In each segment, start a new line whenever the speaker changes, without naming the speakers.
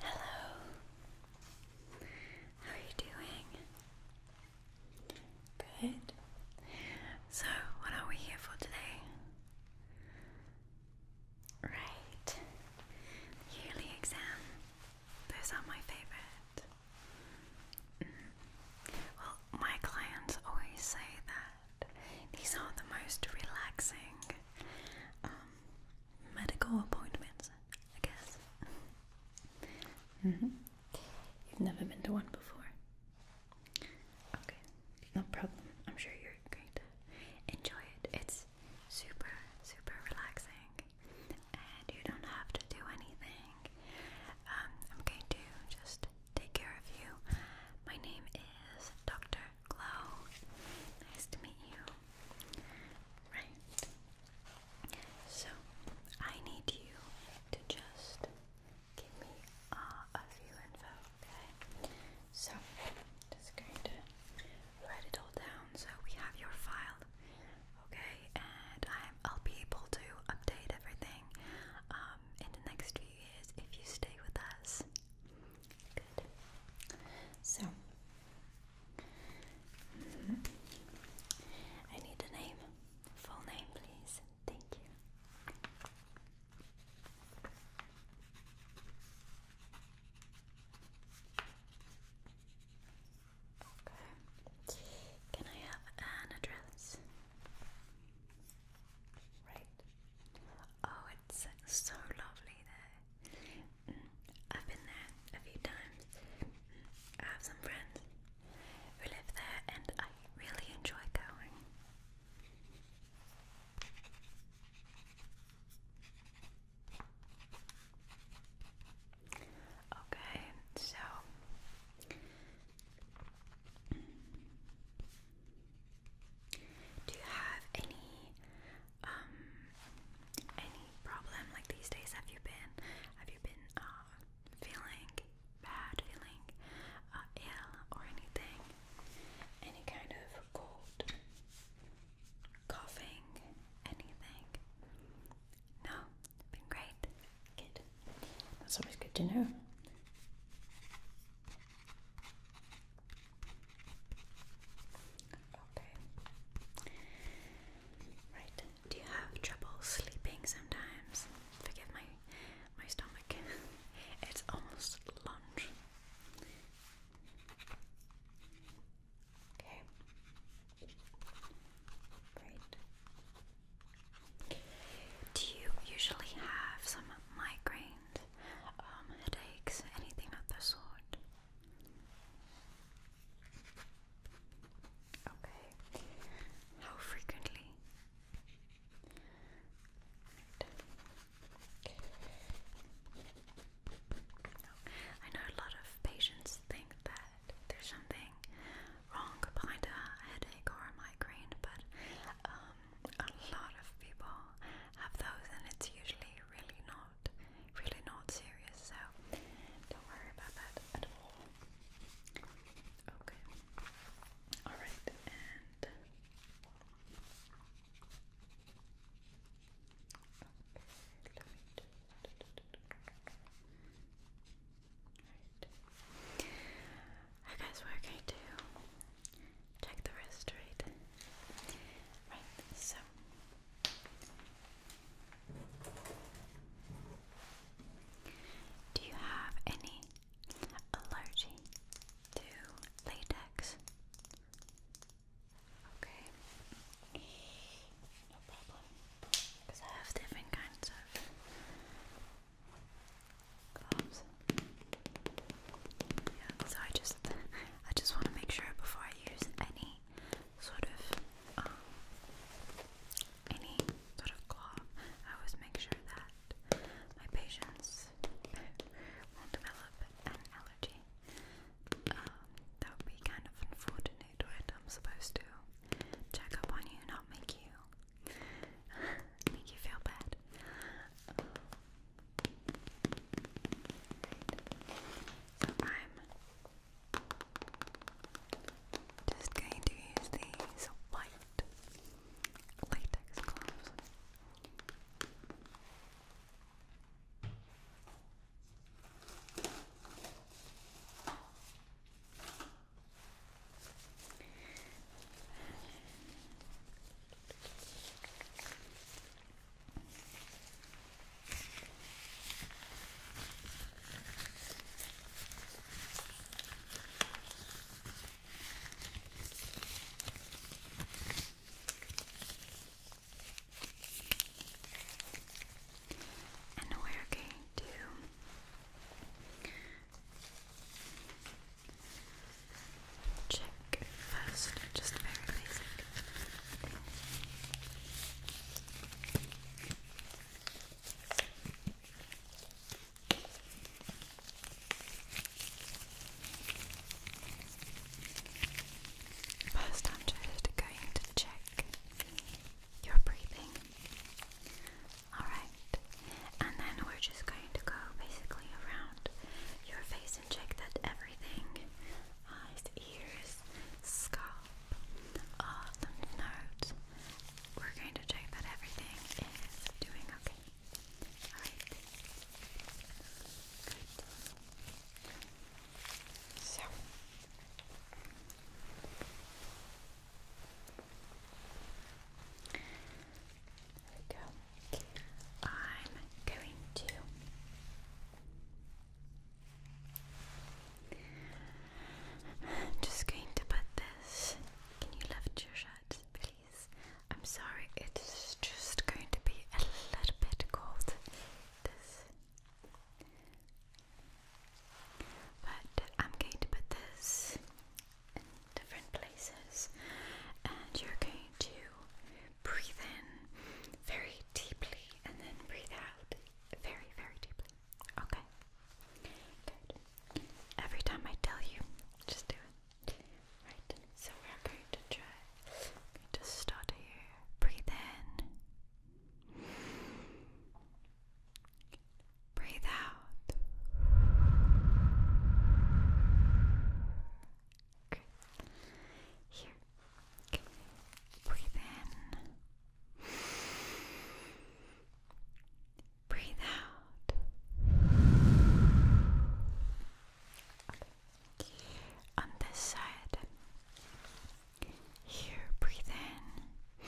Hello. How are you doing? Good. So, what are we here for today? Right. Yearly exam. Those are my favorite. Well, my clients always say that these are the most relaxing um, medical appointments, I guess. Mm-hmm. You've never been to one before. Okay, no problem. I'm sure you're going to enjoy it. It's super, super relaxing. And you don't have to do anything. Um, I'm going to just take care of you. My name is Dr. Glow. Nice to meet you. Right. So, I need you to just give me uh, a few info, okay? So, just going to write it all down so we have your file, okay? And I'm, I'll be able to update everything uh, um, in the next few years if you stay with us. Good. So, I need a name. Full name, please. Thank you. Okay. Can I have an address? Right. Oh, it's so lovely there. Mm, I've been there a few times. Mm. I have some friends who live there, and I really enjoy going. Okay, so do you have any um any problem like these days? Have you been have you been uh feeling bad, feeling uh, ill or anything? Any kind of cold, coughing, anything? No. Been great. That's always good to know. Right. Do you have trouble sleeping sometimes? Forgive my my stomach. it's almost lunch. Okay. Great. Do you usually have some migraine, um, headaches, anything of the sort? Okay. How frequently? I know a lot of patients think that there's something wrong behind a headache or a migraine, but um, a lot of people have those, and it's usually really not, really not serious. So don't worry about that at all. Okay. All right, and. Alright. Alright guys, we're going to check the rest, right? Right, so do you have any allergy to latex? Okay. No problem. Because I have different kinds of so I just I just want to make sure before I use any sort of um, any sort of glove, I always make sure that my patients won't develop an allergy. Um, that would be kind of unfortunate I'm supposed to check up on you, not make you Make you feel bad. I'm just going to use these white latex gloves. And we're going to Check first, just very basic First, I'm just going to check your breathing. Alright, and then we're just going to go basically around your face and check that everything eyes, ears, scalp, uh, lymph nodes. We're going to check that everything is doing okay. Alright. So. I'm going to just going to put this. Can you lift your shirt, please? I'm sorry, it's just going to be a little bit cold. This but I'm going to put this in different places, and you're going to breathe in very deeply and then breathe out very, very deeply. Okay? Good. Every time I tell you, just do it. Right? So we're going to try. i start here. Breathe in. Breathe out. Here. Breathe in. Breathe out. On this side. Here, breathe in.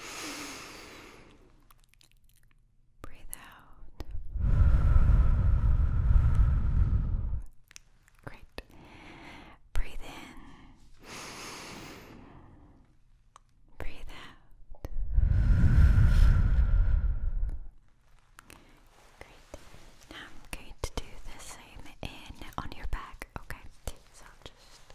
Breathe out. Great. Breathe in. Breathe out. Great. I'm going to do the same in on your back. Okay. So just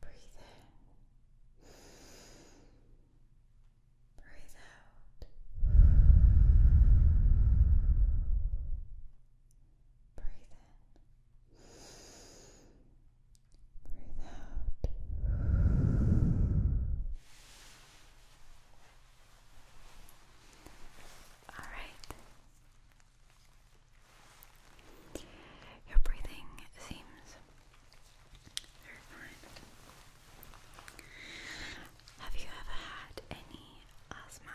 Breathe in. Breathe out. Breathe in. Breathe out. All right. Your breathing seems very fine. Have you ever had any asthma?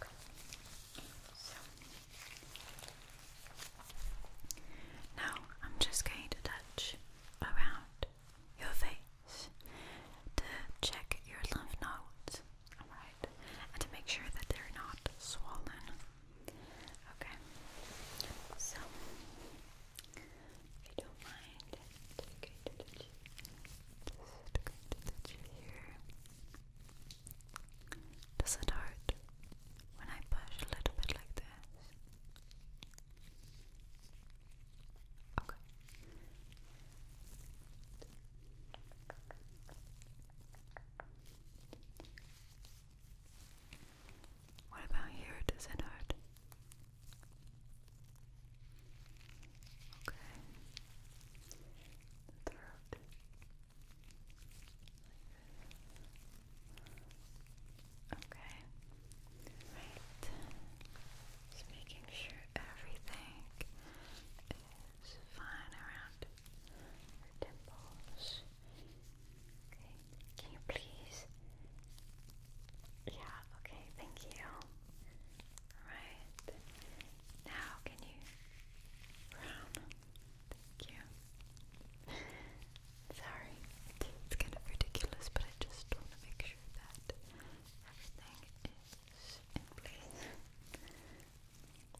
Good. I'm just going to touch around your face to check your lymph nodes. Alright, and to make sure that they're not swollen. Okay, so if you don't mind, just going to touch here. Does it hurt when I push a little bit like this? Okay. What about here? Does Okay. The Okay. Right. Just making sure everything fine around the temples. Okay, can you please? Yeah, okay, thank you. Alright, now can you Thank you. Sorry, it's kind of ridiculous, but I just want to make sure that everything is in place. Okay.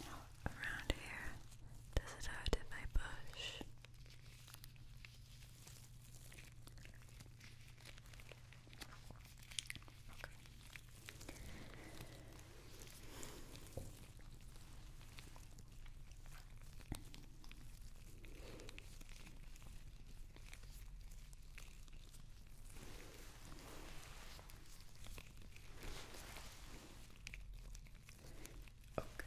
Now around here, does it hurt if I push? Okay. Right. Okay.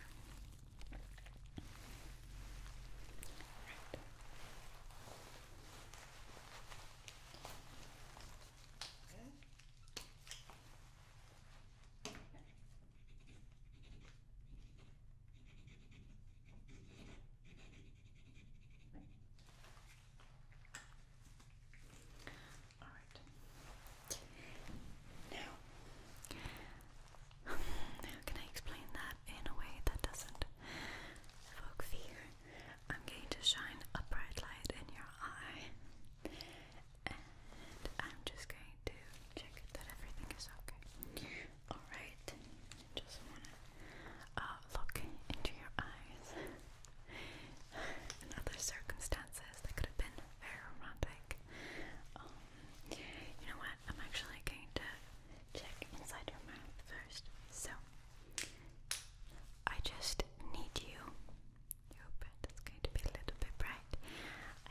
All right. Now, how can I explain that in a way that doesn't evoke fear? I'm going to shine a bright light in your eye, and I'm just going to check that everything is okay. All right just wanna uh, look into your eyes. In circumstances, that could have been romantic. Um, you know what? I'm actually going to check inside your mouth first. So, I just need you. You open. It's going to be a little bit bright.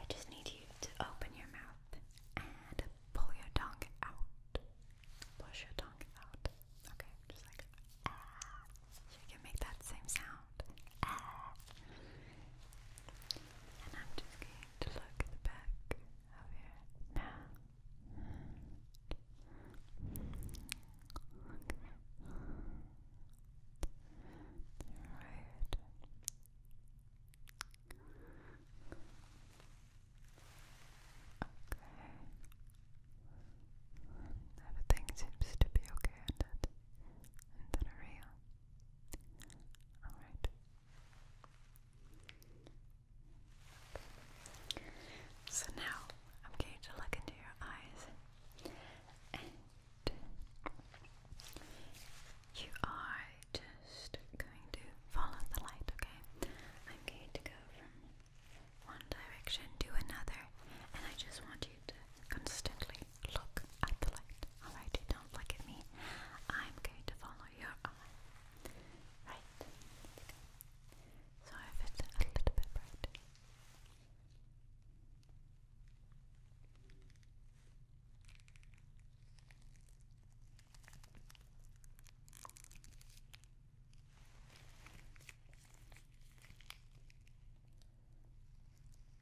I just need you to open your mouth and Pull your tongue out. Push your tongue out. Okay, just like ah. you can make that same sound. Ah. And I'm just going to look at the back of your mouth. Right. Okay. Everything seems to be okay in that, in that area. Alright. So now I'm going to look into your eyes and you are just going to follow the light, okay? I'm going to go from one direction to another, and I just want you to constantly look at the light. Alright, you don't look at me. I'm going to follow your eye. Right. So if it's a little bit bright.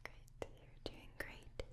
Great, you're doing great. Okay.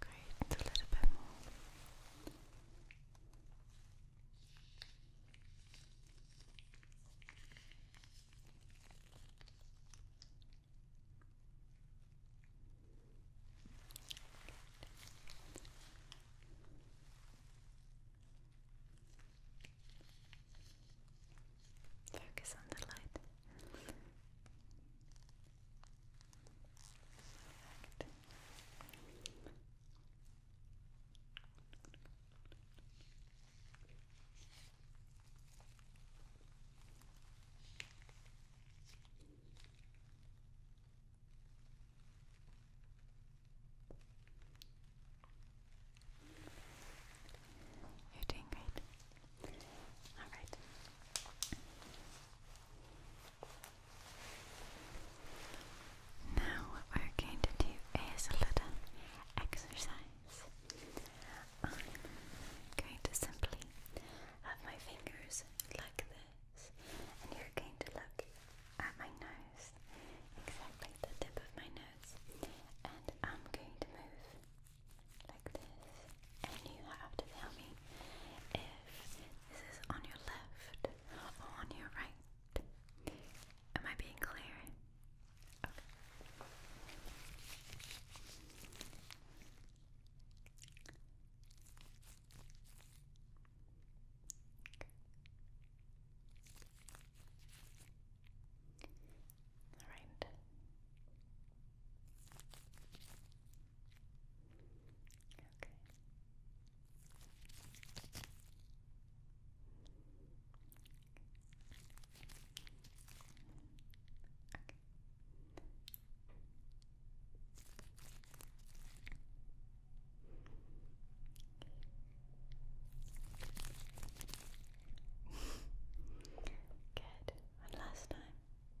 Great, a little bit more. Focus on the light. Perfect. You're doing great. All right. Now we're going to do is a little exercise. I'm going to simply have my fingers like this, and you're going to look at my nose, exactly the tip of my nose, and I'm going to move like this, and you have to tell me if this is on your left or on your right. Am I being clear? Okay. All right. Okay. Okay. Good. One last time.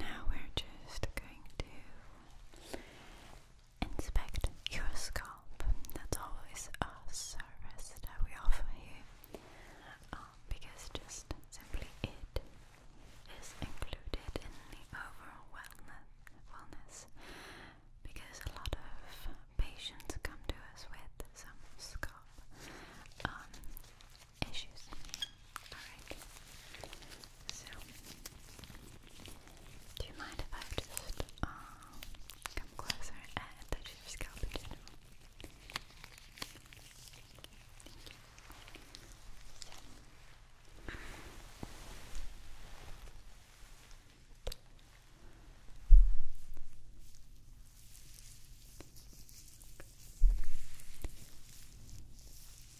Now we're just going to inspect your scalp. That's always a service that we offer you um, because just simply it is included in the overall wellness. wellness because a lot of patients come to us with some scalp um, issues. Alright. So, do you mind if I just um, come closer and touch your scalp in general? Right.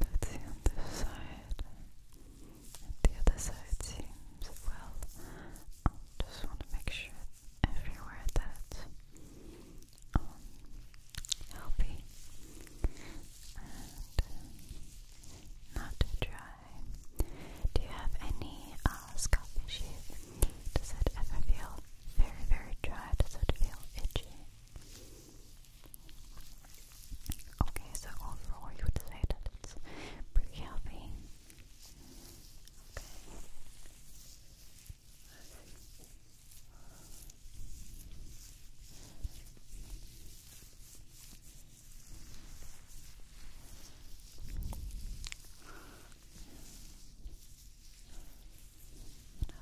Let's see this side the other side seems well. I just want to make sure everywhere that um, healthy and not too dry. Do you have any uh, scalp issues? Does it ever feel very, very dry? Does it feel itchy? Okay, so overall you would say that it's pretty healthy. Okay.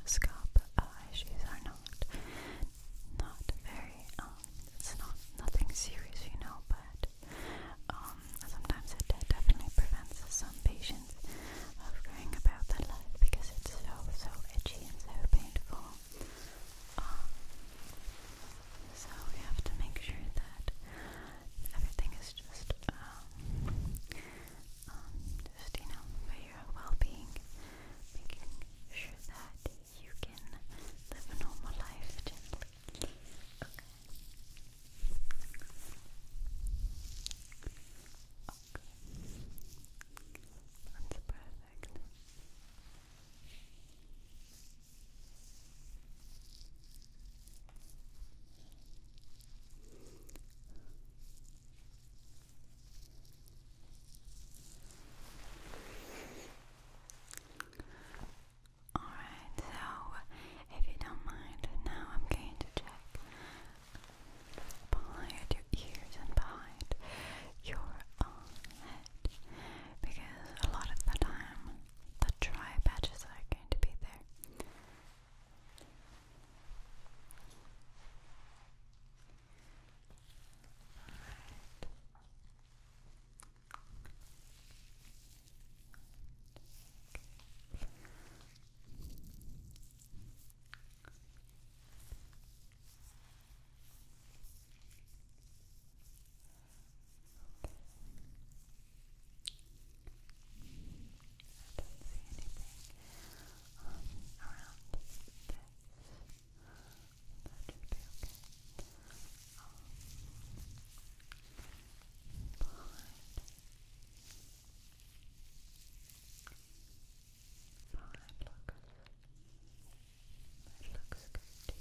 The scalp issues are not not very um, it's not nothing serious, you know, but um, sometimes it definitely prevents some patients of going about their life because it's so, so itchy and so painful. Um, so we have to make sure that everything is just, um, um, just, you know, for your well-being, making sure that you can live a normal life gently. Okay. That's perfect. Alright, so if you don't mind, now I'm going to check behind your ears and behind your head because a lot of the time the dry patches are going to be there. I don't see anything around this that should be okay. Um, behind. Behind looks. It looks good to you.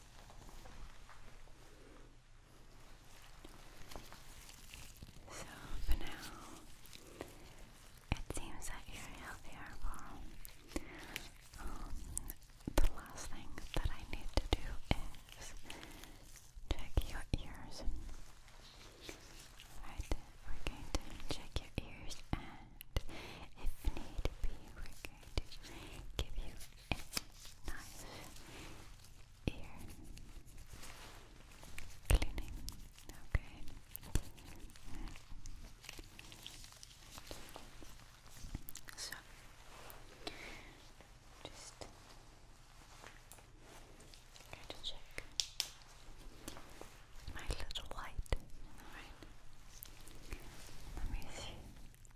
So for now, it seems that you're healthier. Well, um, the last thing that I need to do is check your ears. Right, we're going to check your ears, and if need be, going give you a nice ear cleaning. Okay. So just try to check my little light. Alright. Let me see.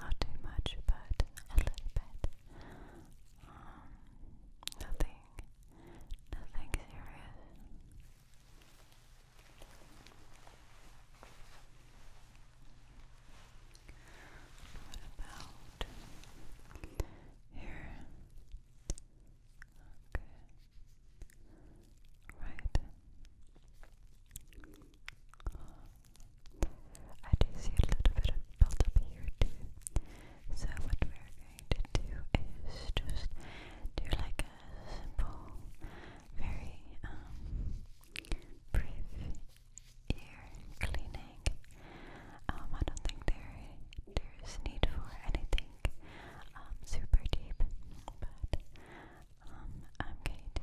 Not too much, but a little bit. Um, nothing, nothing serious. What about here? Okay. Right. I do see a little bit of build here too. So what we're going to do is just do like a simple, very um brief ear cleaning. Um, I don't think there there's need for anything um super deep, but um I'm going to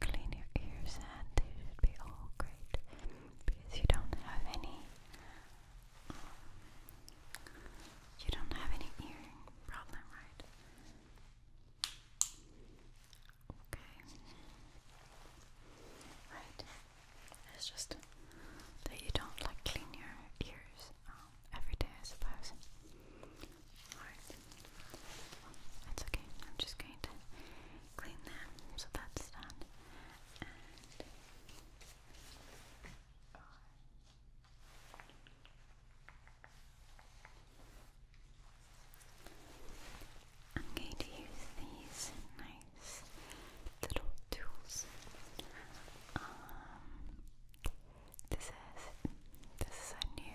clean your ears and it should be all great because you don't have any you don't have any earring problem, right? Okay. Right. It's just that you don't like clean your ears um, every day, I suppose. Alright. That's okay. I'm just going to clean them, so that's done. I'm going to use these nice little tools. Um, this is this is a new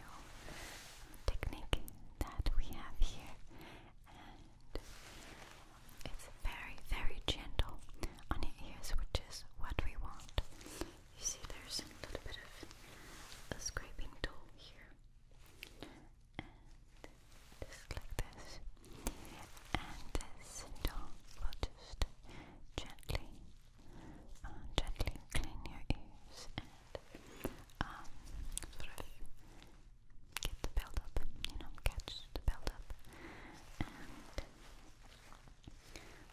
technique that we have here, and it's very, very gentle on your ears, which is what we want. You see, there's a little bit of a scraping tool here, just like this, and this tool will just gently, uh, gently clean your ears um, sort of get the build you know, catch the build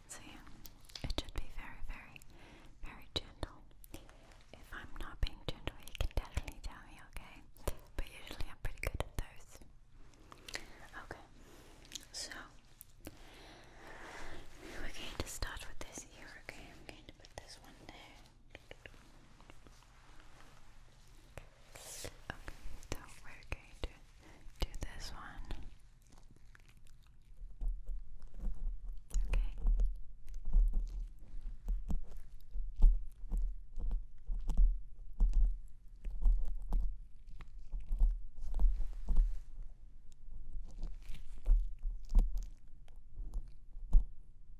so, yeah, it should be very, very, very gentle. If I'm not being gentle, you can definitely tell me, okay? But usually I'm pretty good at those. Okay, so we're going to start with this here, okay? I'm going to put this one there so we're going to do this one. Okay.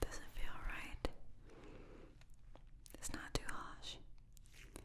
Doesn't feel right. It's not too harsh. Good.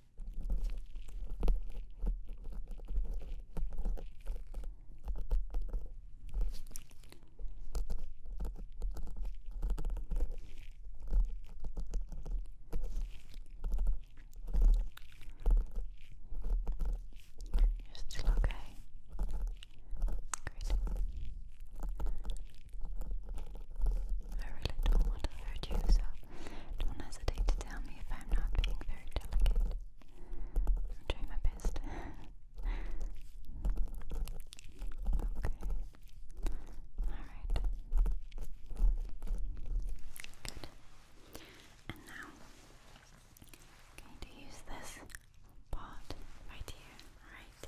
You're still okay. I really you, so don't hesitate to tell me if I'm not being very delicate. I'm trying my best. okay. Alright. Good. And now, going to use this pot right here. Alright.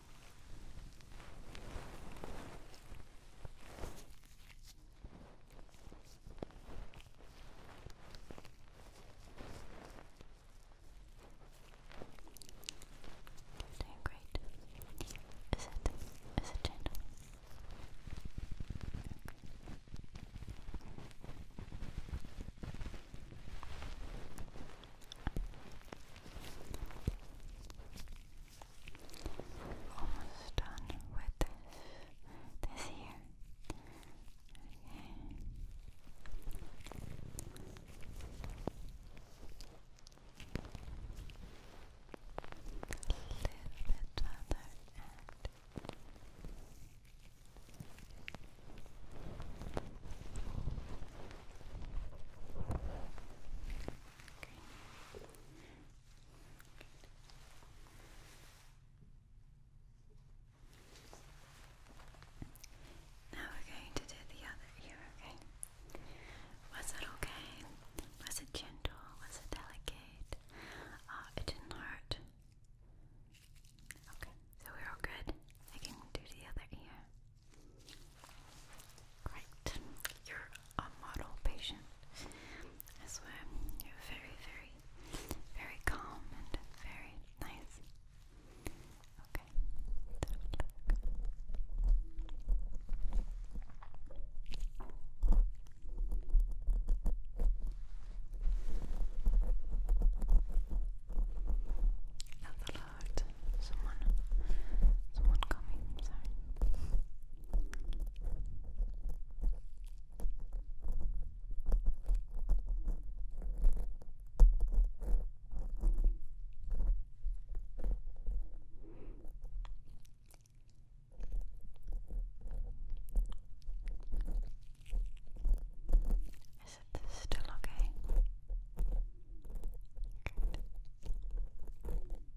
Doing great. Is it? Is it gentle? Okay almost done with this this here. A little bit other now we're going to do the other ear, okay? Was it okay? Was it gentle? Was it delicate? Uh, it didn't hurt. Okay, so we're all good. I can do the other ear. Great. You're a model patient. I swear, you're very, very, very calm and very nice. Okay. That's a someone, someone coming. Sorry. Is it still okay?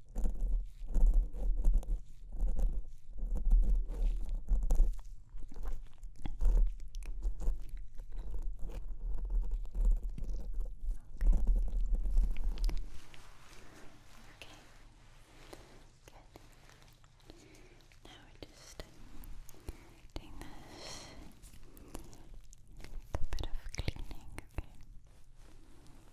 Okay. Good. Now we're just doing a bit of cleaning, Okay.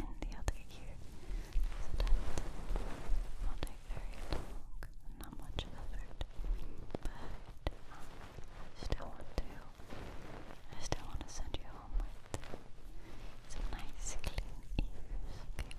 and the other ear is that will take very long, not much effort, but I still want to, I still want to send you home with some nice clean ears, okay?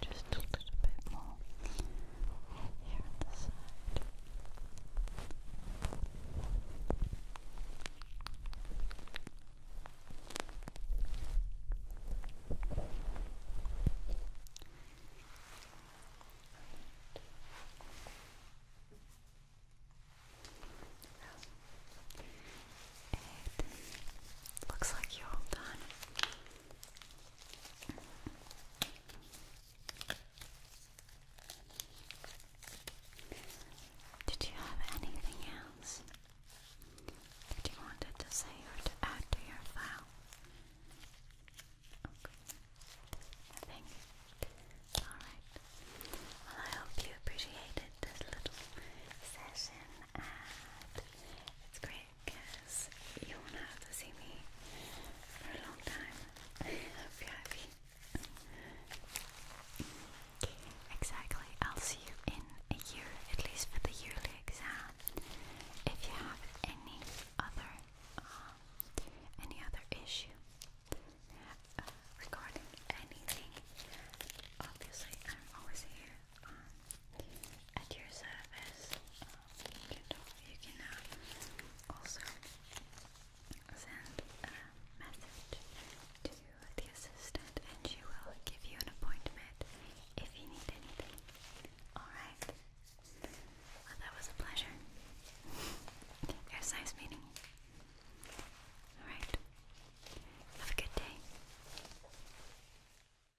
Just a bit more here on the side. It looks like you're done. Did you have anything else that you wanted to say or to add to your file? Okay. Nothing. Alright. Well, I hope you appreciated this little session and it's great because you won't have to see me for a long time. I hope you're happy. Exactly, I'll see you in a year, at least for the yearly exam. If you have any other, um, any other issue uh, regarding anything, obviously I'm always here um, at your service. you can, uh, also send a message to the assistant and she will give you an appointment if you need anything. Alright? Well, that was a pleasure. it was nice meeting Alright. Have a good day.